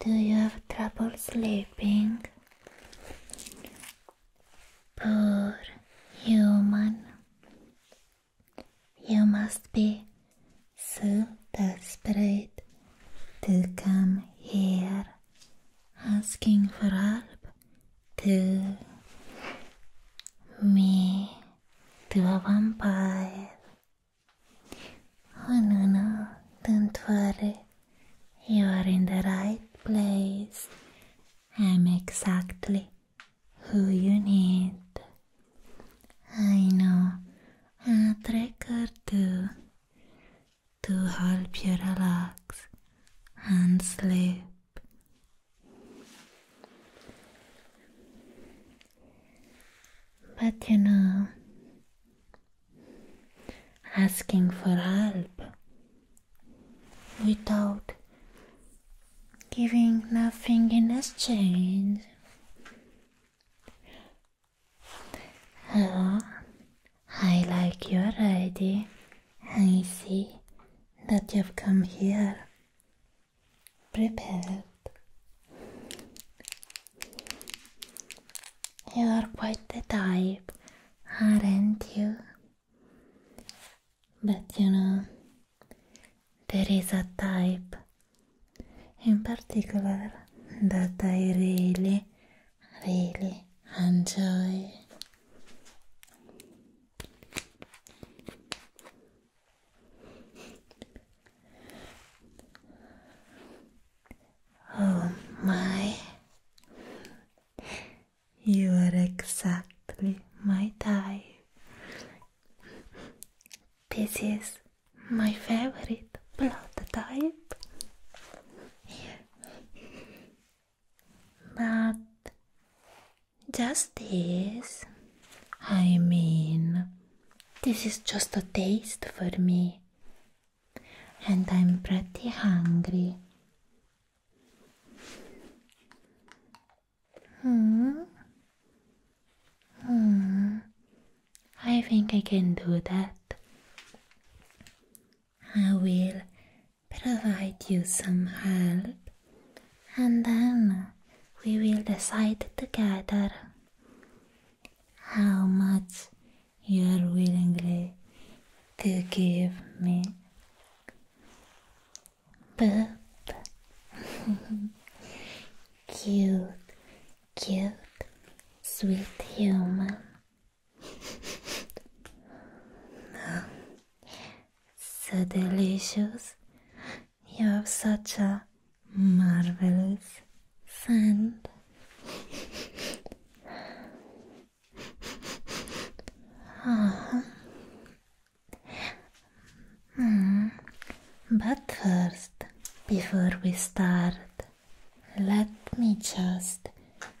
Do you have trouble sleeping? Poor human. You must be so desperate to come here asking for help to me, to a vampire. Oh no, no, don't worry. You are in the right place. I'm exactly who you need. I know a trick or two to help you relax and sleep. But you know, asking for help without giving nothing in exchange. Hello, I like your ID. I see that you've come here prepared. You are quite the type, aren't you? But you know, there is a type in particular that I really really enjoy. Oh my, you are exactly my type. This is my favorite blood type. But just this, I mean, this is just a taste for me, and I'm pretty hungry. Hmm. Hmm. I think I can do that. I will provide you some help and then we will decide together how much you are willingly to give me. But cute, cute, sweet human, so delicious. You have such a marvelous scent. oh. Mm. But first, before we start, let me just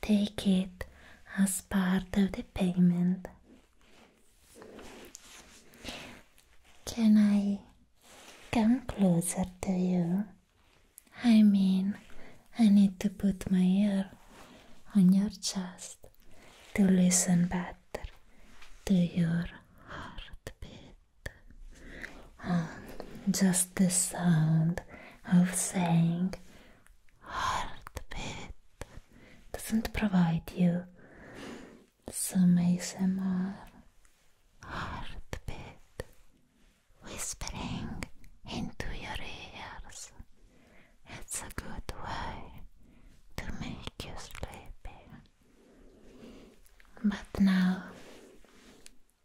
take it as part of the payment. Can I come closer to you? I mean, I need to put my ear on your chest to listen better to your heartbeat. Oh, just the sound of saying heartbeat doesn't provide you some ASMR heartbeat whispering into your ears. It's a good way to make you sleepy. But now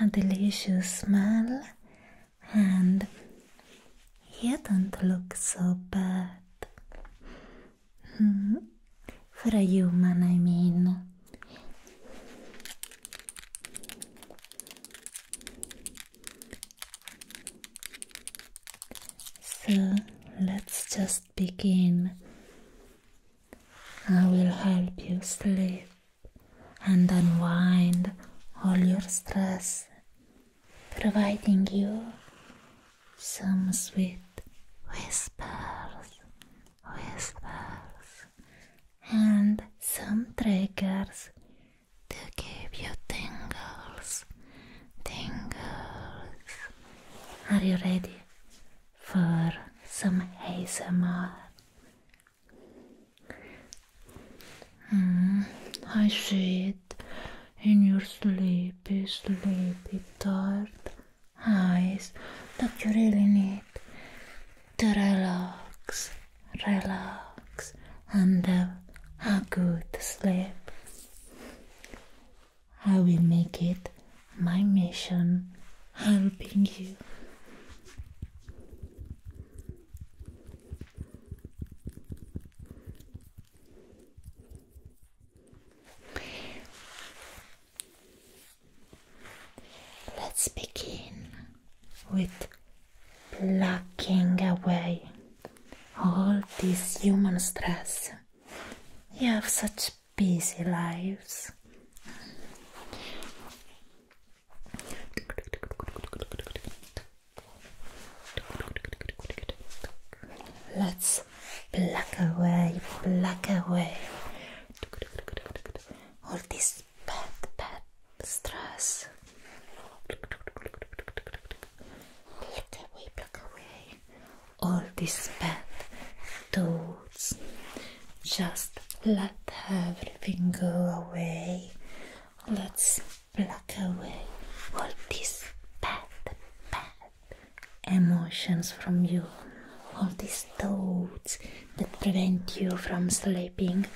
a delicious smell and you don't look so bad. Hmm. For a human, I mean. So let's just begin. I will help you sleep and unwind all your stress, providing you some sweet whispers, whispers, and some triggers to give you tingles, tingles. Are you ready for some ASMR? I see it in your sleepy, sleepy, tired eyes that you really need to relax, relax, and have a good sleep. I will make it my mission helping you. Let's begin with plucking away all this human stress. You have such busy lives. Let's pluck away, pluck away all this bad, bad stress. Pluck away, pluck away all this bad, Toads. Just let everything go away. Let's pluck away all these bad, bad emotions from you, all these toads that prevent you from sleeping.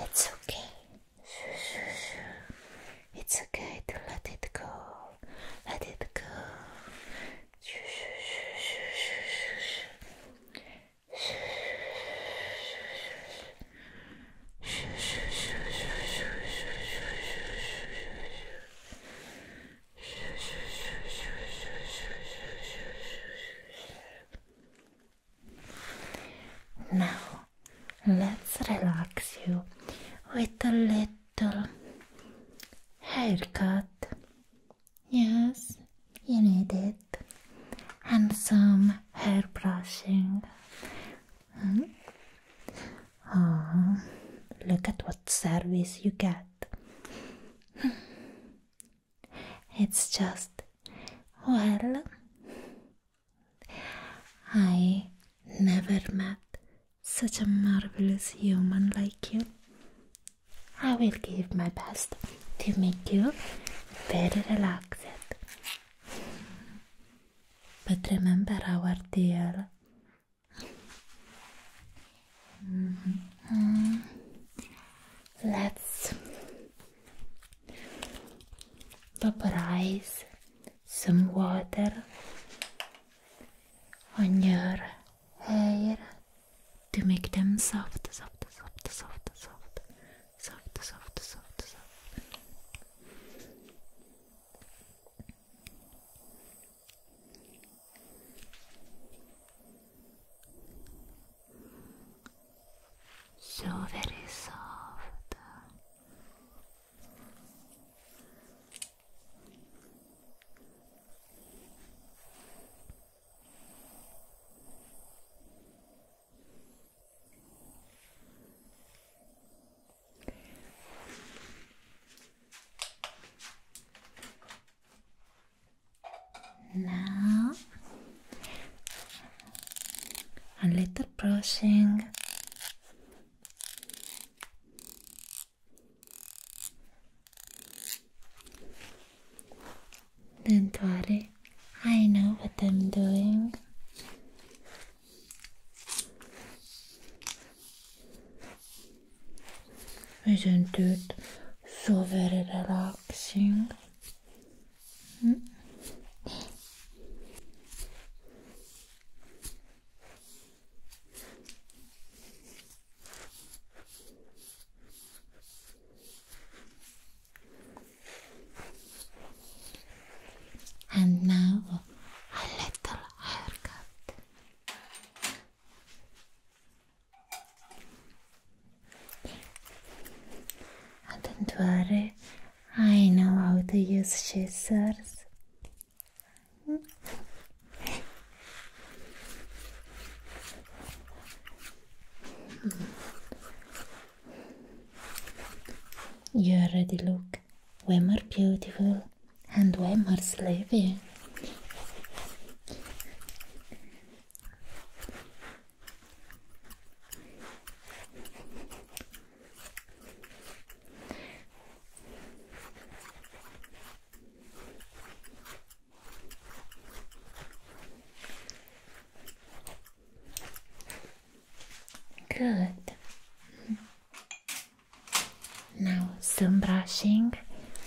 It's okay. It's okay to let it go. Let it go. Now let's relax you with a little haircut. Yes, you need it. And some hair brushing. Oh, look at what service you get. it's just, well, I never met such a marvelous human like you. I will give my best to make you very relaxed. But remember our deal. Mm-hmm. Let's vaporize some water on your hair to make them soft, soft, soft, soft, soft soft, soft, soft, soft. So very soft. Now a little brushing. do I know what I'm doing. Isn't it so very relaxing? Hmm? And now a little haircut. And ah, don't worry, I know how to use scissors. You already look way more beautiful and way more sleepy. Good. Now, some brushing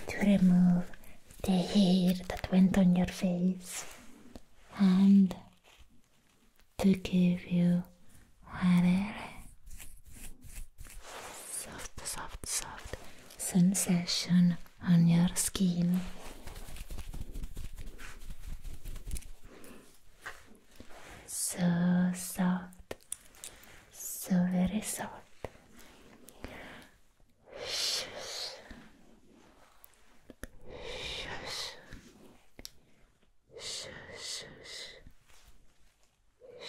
to remove the hair that went on your face and to give you whatever soft, soft, soft sensation on your skin. So soft, so very soft. Shush. Shush. Shush.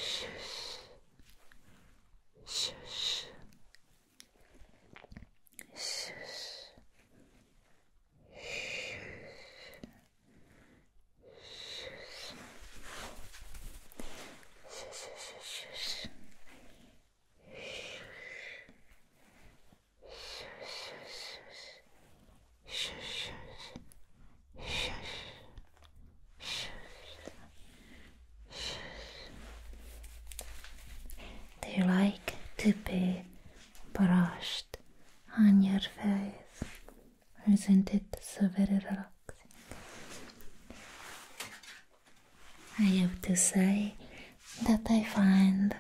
Shush. Shush. Shush. They like to be brushed on your face. Isn't it so very relaxing? I have to say that I find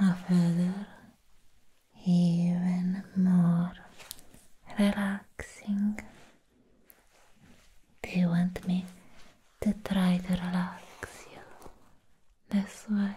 a feather even more relaxing. Do you want me to try to relax you this way.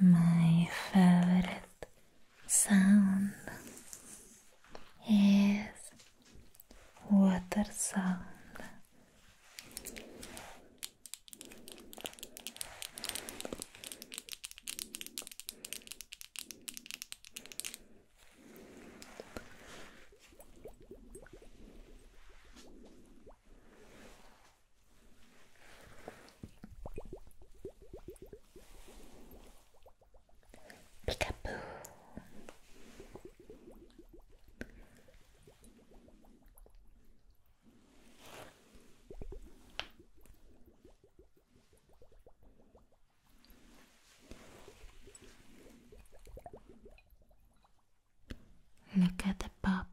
My favorite sound is water sound. Peekaboo. Look at the bubbles,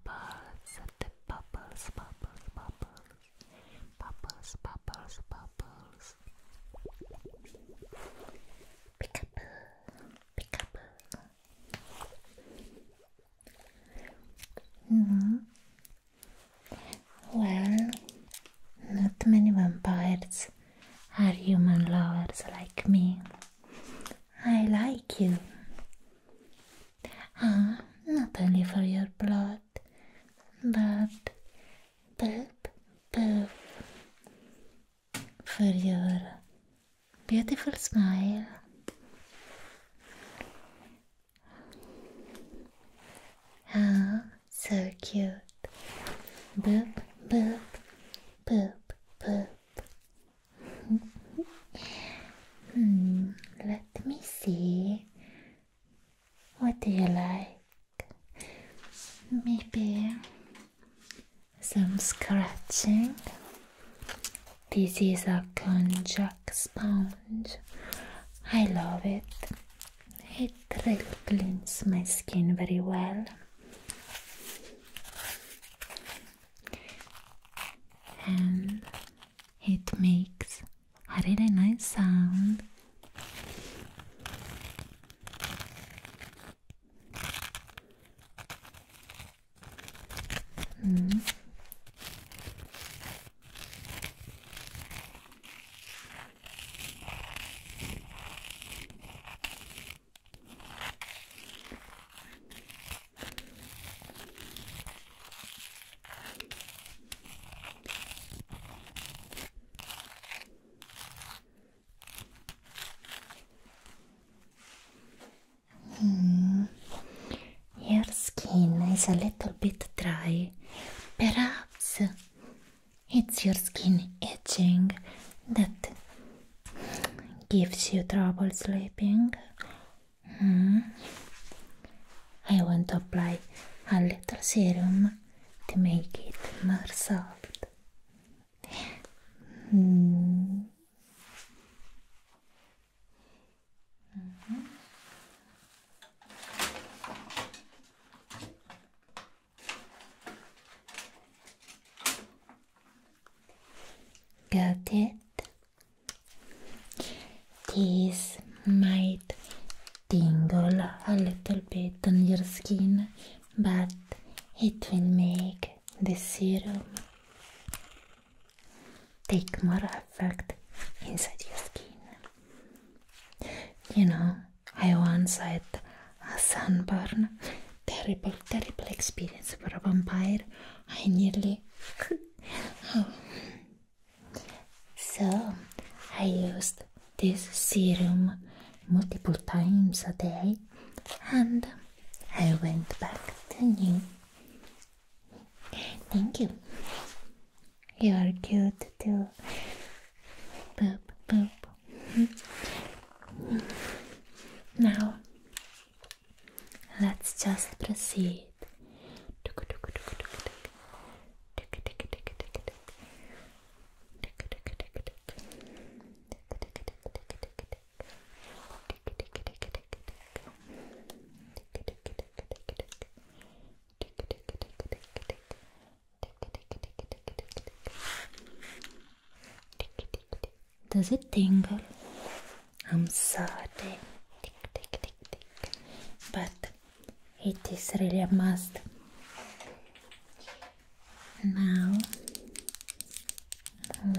the bubbles, bubbles, bubbles. Bubbles, bubbles, bubbles. Pick up, pick up. Mm. Well, not many vampires are human lovers like me. I like you. Ah, not only for your blood, but poop, poop, for your beautiful smile. Ah, so cute. Boop, boop, boop, boop. Hmm, let me see. What do you like? Maybe some scratching. This is a konjac sponge. I love it. It really cleans my skin very well. And it makes a really nice sound. Hmm. A little bit dry. Perhaps it's your skin itching that gives you trouble sleeping, Hmm. I want to apply a little serum to make it more soft. Hmm. Got it. This might tingle a little bit on your skin, but it will make the serum take more effect inside your skin. You know, I once had a sunburn, terrible, terrible experience for a vampire. I nearly so, I used this serum multiple times a day and I went back to you. Thank you. You are cute too. Boop, Now, Let's just proceed. Does it tingle? I'm sorry, But it is really a must. Now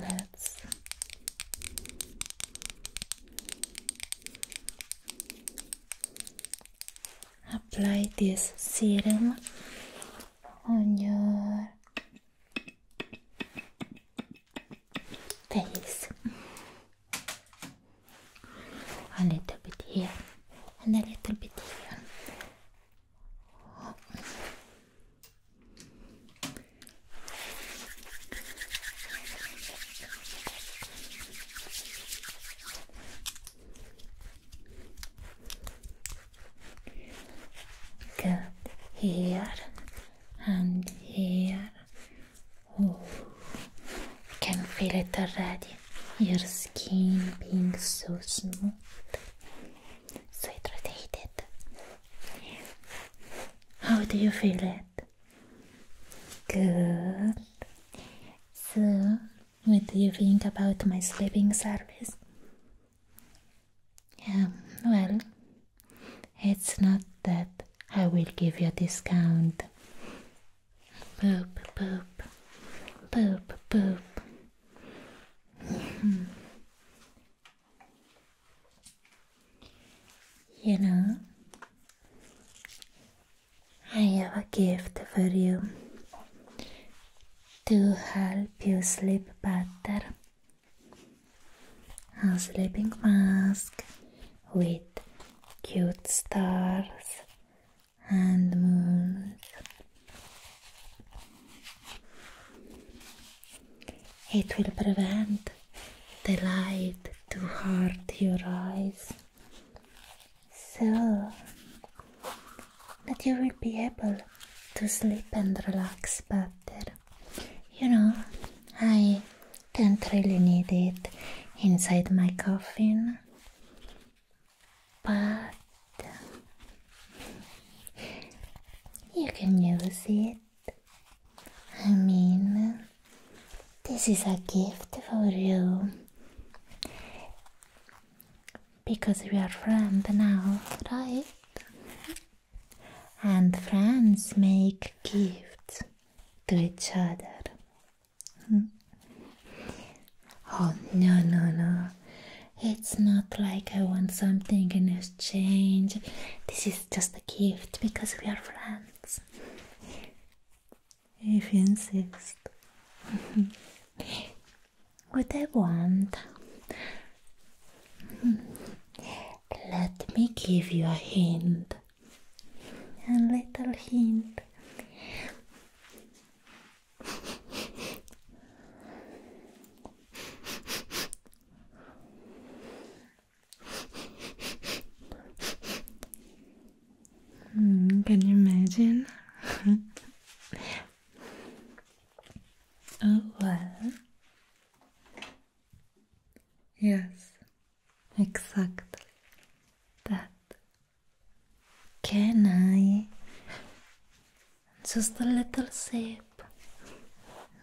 let's apply this serum on your face a little bit here and a little bit here Good. Here and here. Oh, I can feel it already. Your skin being so smooth, so hydrated. How do you feel it? Good. So, what do you think about my sleeping service? Yeah, um, well, it's not that I will give you a discount. Poop, poop, poop, poop. Hmm. you know, I have a gift for you to help you sleep better a sleeping mask with cute stars and moons. It will prevent the light to hurt your eyes. So that you will be able to sleep and relax better. You know, I don't really need it inside my coffin, but you can use it. I mean, this is a gift for you. Because we are friends now, right? and friends make gifts to each other. Hmm? oh, no, no, no. It's not like I want something in exchange. This is just a gift because we are friends. If you insist. what I want let me give you a hint. A little hint. Hmm, can you imagine? oh well. Yes, exactly that. Can I? Just a little sip,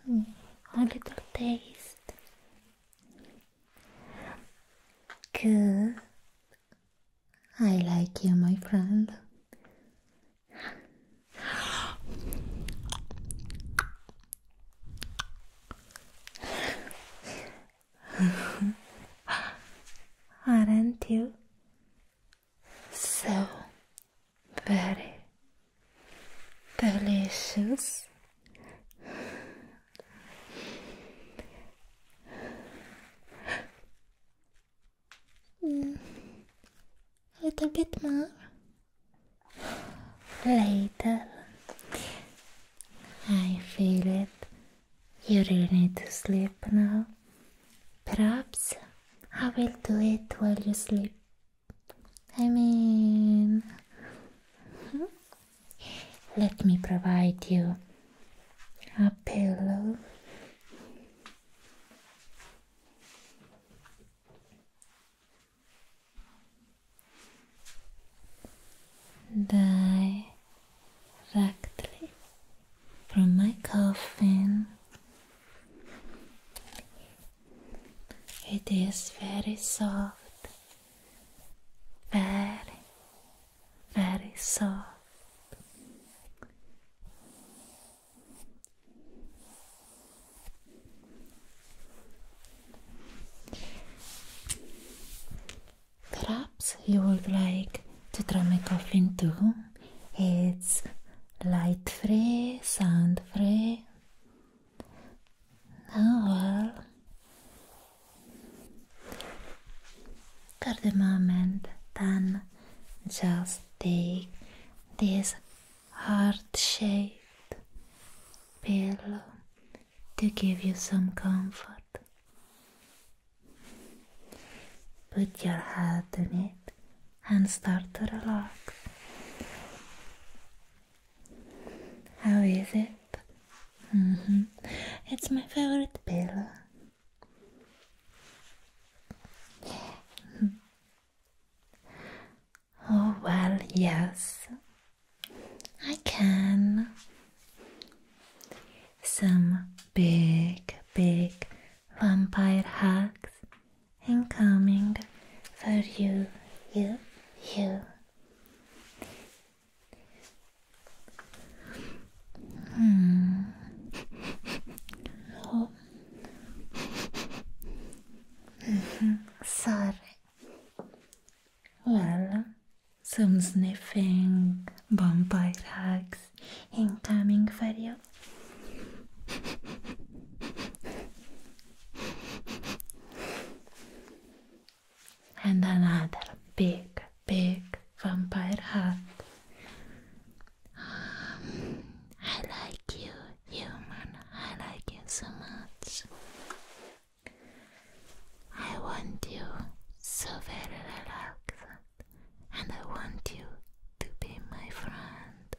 a little taste. Good. I like you, my friend. Aren't you so very delicious? A little bit more. Later. I feel it. You really need to sleep now. Perhaps I will do it while you sleep. I mean, hmm? let me provide you a pillow directly from my coffin. It is very soft, very, very soft. Perhaps you would like to try my coffin too. It's light free, sound free. Oh well. For the moment, then just take this heart-shaped pillow to give you some comfort. Put your head on it and start to relax. How is it? Mm-hmm. It's my favorite pillow. Oh, well, yes, I can. Some big, big vampire hugs coming for you, you, you. Hmm. oh. Sorry. Well, some sniffing, vampire hugs incoming for you. and another big, big vampire hug. I like you human. I like you so much. I want you so very relaxed, and I want you to be my friend.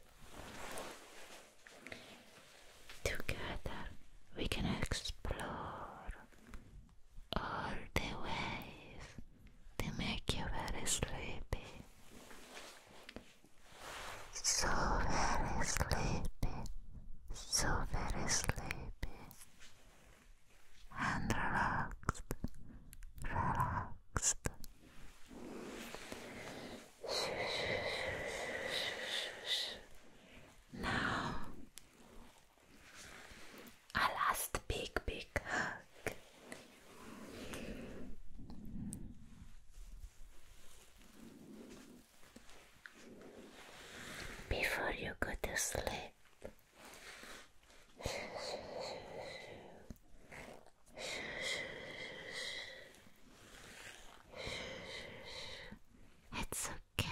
Together we can explore all the ways to make you very sleepy so very sleepy, so very sleepy, and relaxed, relaxed. Now, a last big, big hug. Before you go to sleep. It's okay.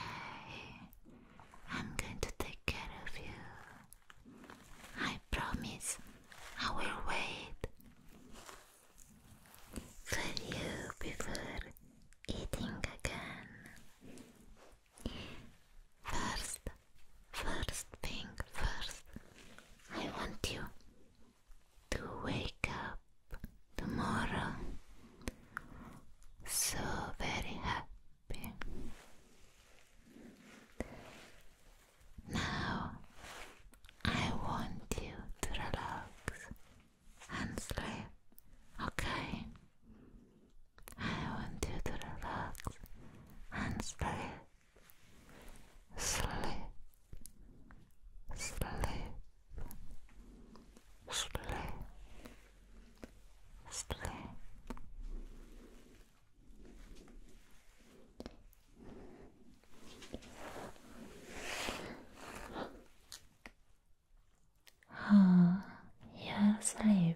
I'm going to take care of you. I promise I will wait for you before eating again. First, first thing first, I want you to wake up tomorrow so very happy. Now I want you to relax and sleep, okay? I want you to relax and sleep. Sleep, sleep, sleep, sleep, Oh, you're sleeping.